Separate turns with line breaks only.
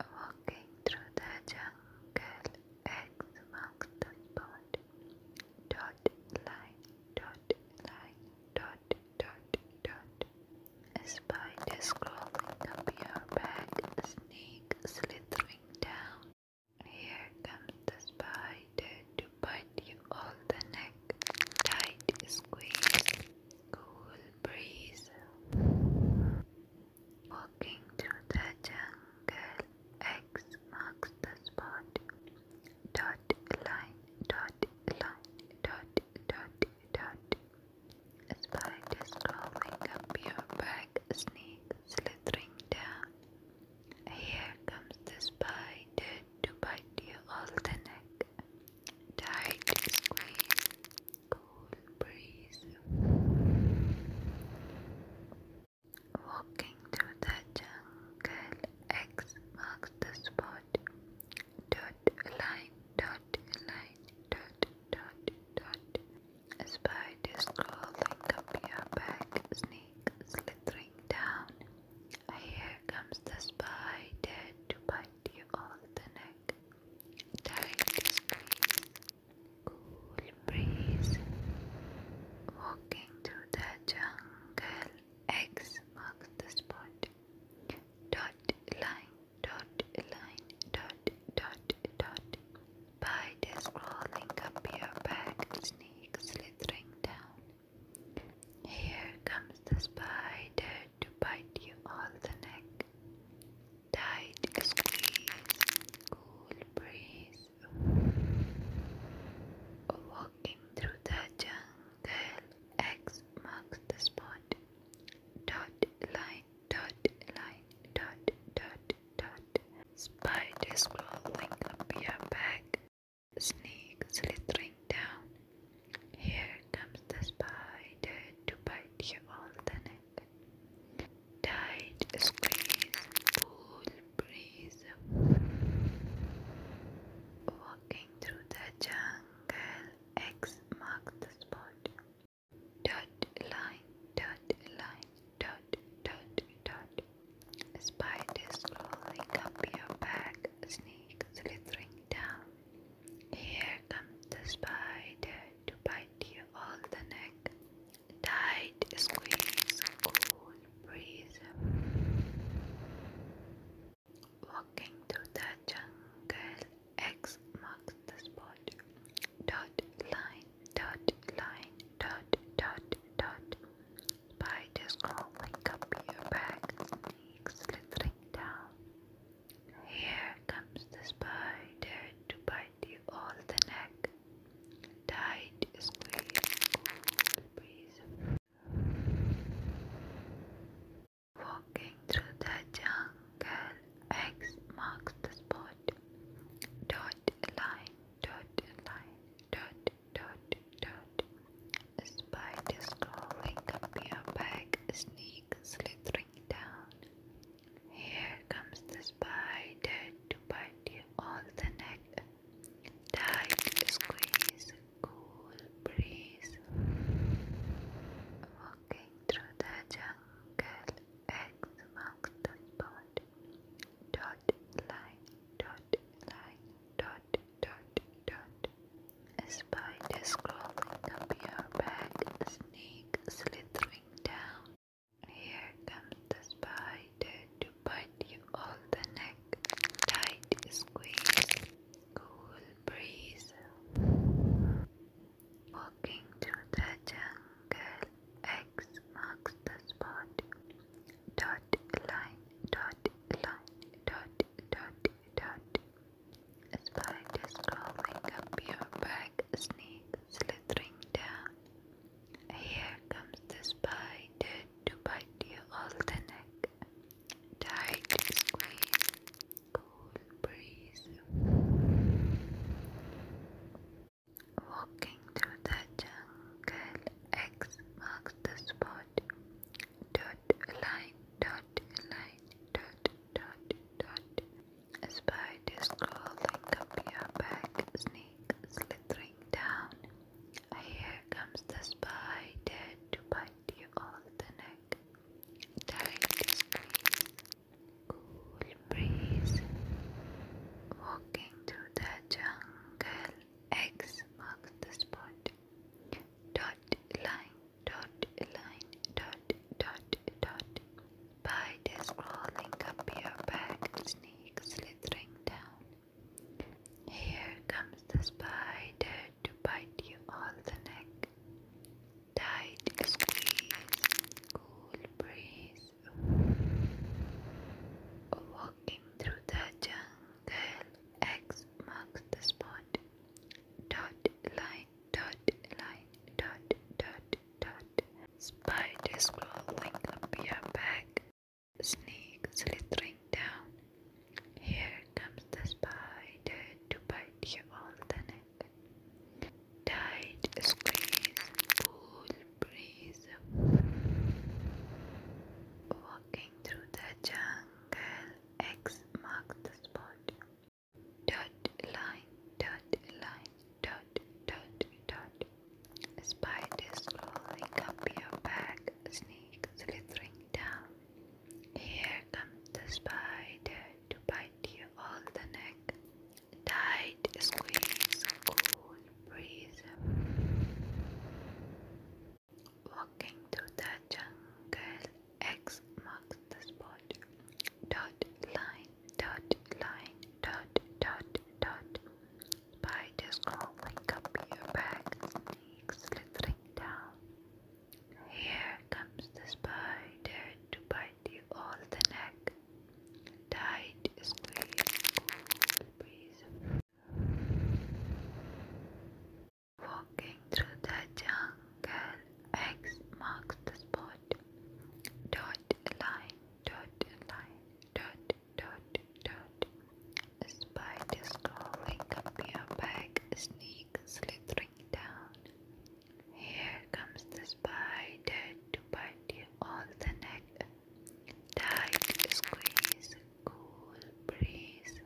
Walking through the jungle, eggs mark the spot. Dot line, dot line, dot, dot, dot. A spider crawling up your back, snake slithering down. Here comes the spider to bite you all the neck. Tight squeeze, cool breeze. Walking through the jungle, X marks the spot. Dot line, dot line, dot, dot, dot. Spiders crawling up your back, snake slithering down. Here comes the spider to bite you all the neck. Tight squeeze, cool breeze. Walking through the jungle, X marks the spot. Dot line, dot line, dot, dot, dot. A spider crawling up your back, snake slithering down. Here comes the spider to bite you on the neck. Tight squeeze. Cool breeze. Walking through the jungle. X marks the spot. Dot line, dot line, dot, dot, dot. Spiders crawling up your back, snakes slithering down. Here comes the spider to bite you on the neck. Tight squeeze, cool breeze. Walking through the jungle, X marks the spot. Dot line, dot line, dot, dot, dot. Spiders crawling up your back, snake slithering down. Here comes the spider to bite you all the tight squeeze, pull, breeze. Walking through the jungle, X marks the spot. Dot line, dot line, dot, dot, dot. Spiders crawling up your back, snake slithering down. Here comes the spider to bite you all the neck. Tight squeeze, cool breeze. Walking through the jungle, X marks the spot. Dot line, dot line, dot, dot, dot. Bite Spiders crawling up your back, snakes slithering down. Here comes the spider to bite you all the neck. Tight squeeze, Walking through the jungle, X marks the spot. Dot line, dot line, dot, dot, dot. Spiders crawling up your back, sneak slithering down. Here comes the spider to bite you on the neck. Tight squeeze, cool breeze. Walking through the jungle, eggs amongst the pond. Dot line, dot line, dot, dot, dot spider crawling up your back, snake slithering down. Here comes the spider to bite you all the neck. Tight squeeze, cool breeze. Walking through the jungle, X marks the spot. Dot line, dot line, dot, dot, dot. Spiders crawling up your back, snakes slithering down. Here comes the spider to bite you all the neck. Tight squeeze, cool breeze. Walking through the jungle, X marks the spot. Dot line, dot line, dot, dot, dot. Spiders crawling up your back, snake slithering down. Here comes the spider to bite you all the neck. Tight squeeze, cool breeze. Walking through the jungle, X marks the spot. Dot line dot line dot dot dot. By the scrolling up your back, sneak slithering down. Here comes the spider to bite you on the neck. Tight squeeze, cool breeze. Walking through the jungle, X marks the spot. Dot line, dot line dot dot dot spiders crawling up your back snake slithering down here comes the spider to bite you all the neck tight squeeze cool breeze walking through the jungle X marks the spot dot line dot line dot dot dot spiders crawling up your back snake slithering down here comes the spider to bite you all the neck tight squeeze cool breeze walking through the jungle X marks the spot. Dot line, dot line, dot, dot, dot. Spiders crawling up your back, snakes slithering down. Here comes the spider to bite you all the neck. Tight squeeze, Walking through the jungle. Girl X marks the spot. Dot line, dot line, dot, dot, dot. Spiders crawling up your back, sneak slithering down. Here comes the spider to bite you all the neck. Tight squeeze, cool breeze.